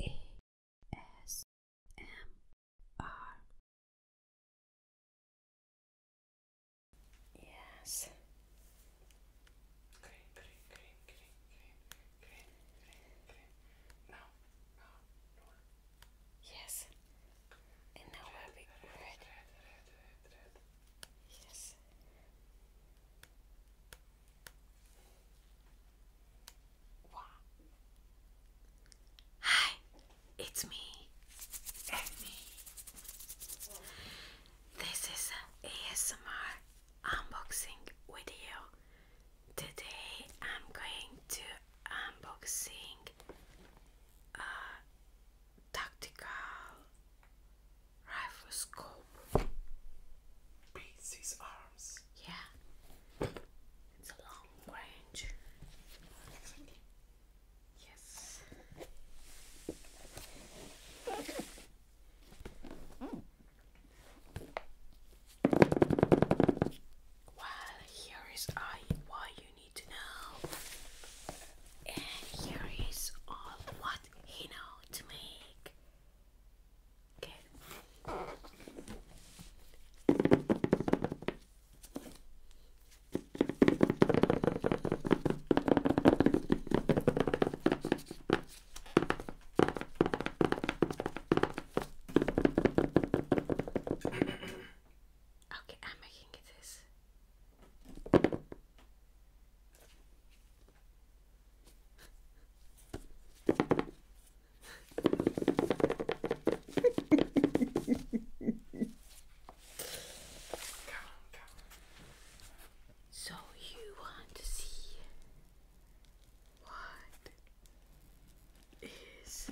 ASMR. Yes. Green, green, green, green, green, green, green, green. Now, now, no. Yes. And now we'll red. Yes. Hi, it's me, Amy. This is an ASMR unboxing video. Today I'm going to unboxing a uh, tactical Riflescope. Beats his arms. Yeah. It's a long range. Yes. Well, here is I what you need to know, and here is all what he know to make. Okay. Okay, I'm making it this so you want to see what is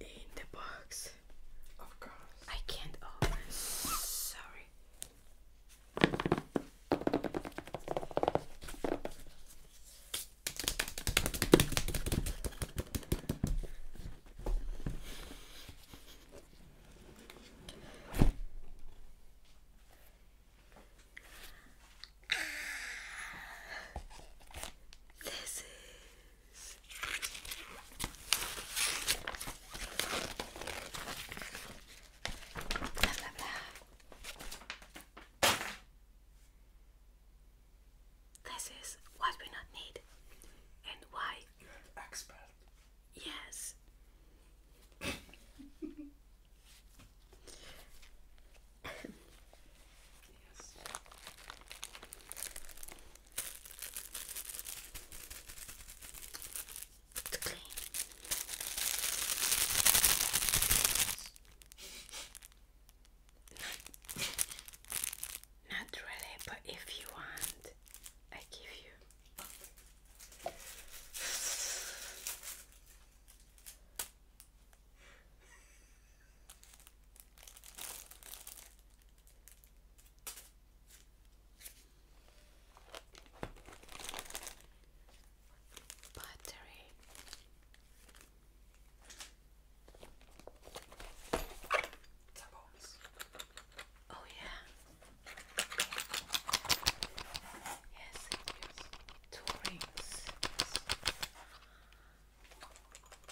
in the box? Of course. I can't Oh, Sorry. This this is what we not need and why. You're an expert. yes. to Not really, but if you want, I give you. Battery. Tampons. Oh yeah. Yes, is. Two rings.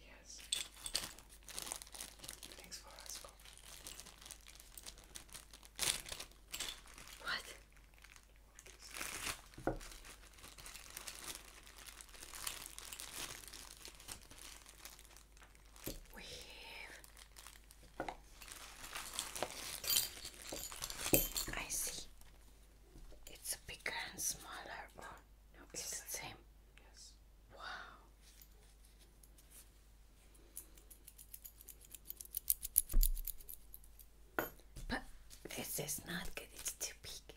Yes. Thanks for asking. What? what I see. It's bigger and smaller no, it's, the same. Yes. Wow. But this is not good, it's too big.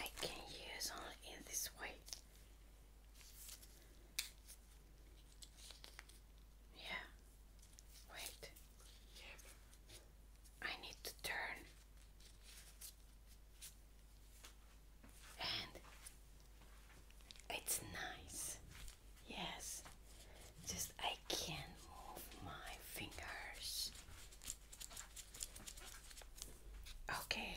I can use only in this way. Yeah. Wait. I need to turn and it's nice. Yes, just I can't move my fingers. Okay.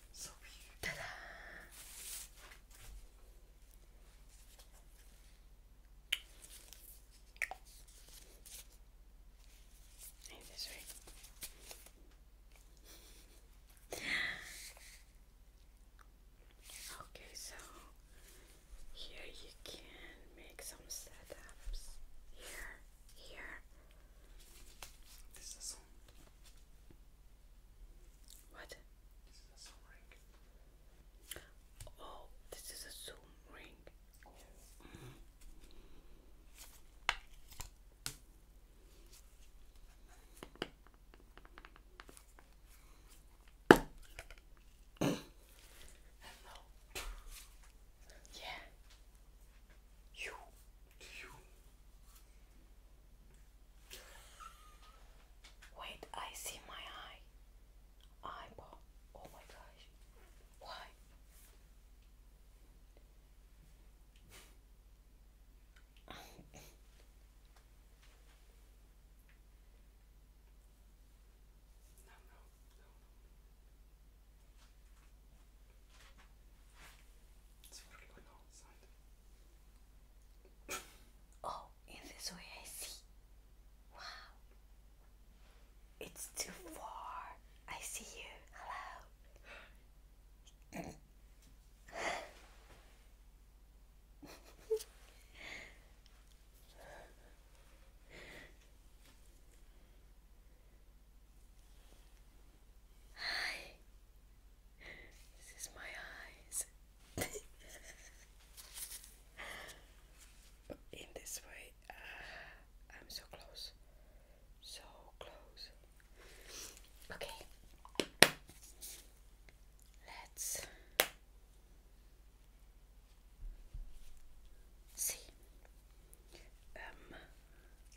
So Okay, so here you can make some setups. Here, here. What? This is a Zoom ring. Oh, this is a Zoom ring. Hello. Yeah. You Wait, I see my eye. Eyeball. Oh my gosh. Why? no, no, no. It's oh, in this way I see. Wow. It's too far. I see you. Hello. Hi. This is my eyes. in this way, uh, I'm so close. So close. Okay. Let's see. Um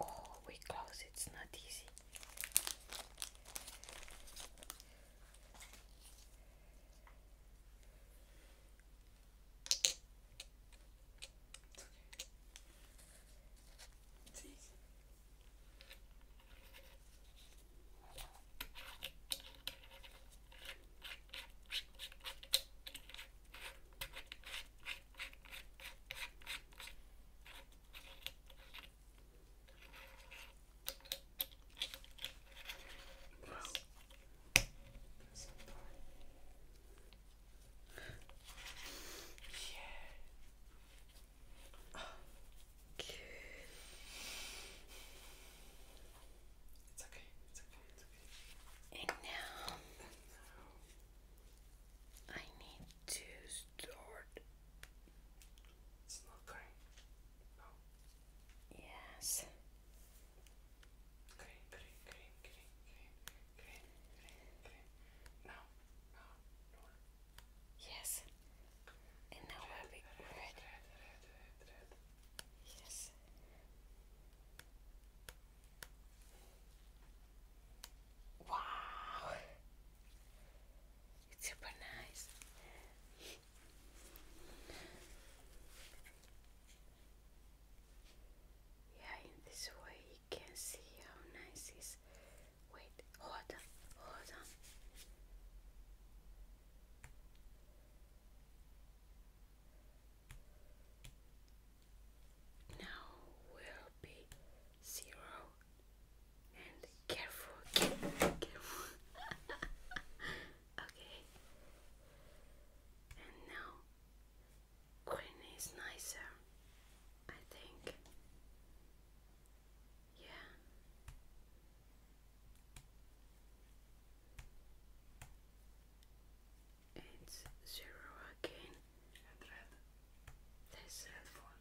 Oh, we close, it's not easy. It's easy. Wow. That's so yeah. Oh, good. It's okay. It's okay. And now I need to start. It's green. Green, green, green, green, green, green, green, green. No, no, no. Yes. And now red, we'll red, red. Red, red, red, red. Yes. Wow, it's super nice. Yeah, in this way you can see how nice is. Wait, hold on, hold on. Now will be zero and careful, okay. And now green is nicer, I think. Yeah. It's zero again. red. This red phone.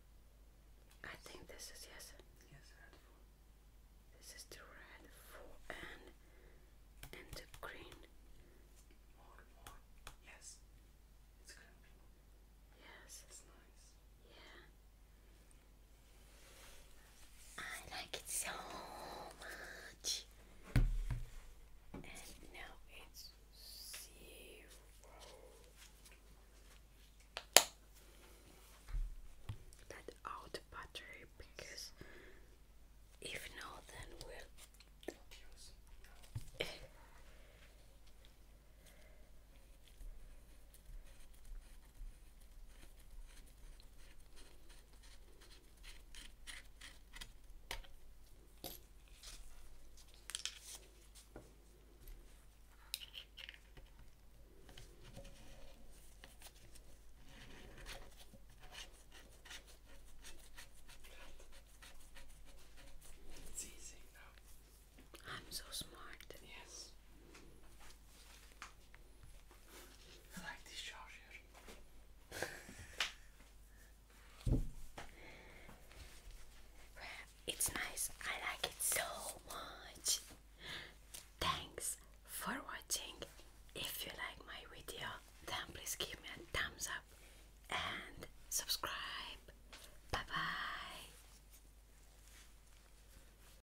I think this is yes. Yes, This is the red phone and and the green. Yes. Yes. Yeah. I like it so much. And now it's zero. That out battery because if not, then we'll. It's easy I'm so smart. Yes. I like these chargers. It's nice. I like it so much. Thanks for watching. If you like my video, then please give me a thumbs up and subscribe. Bye bye.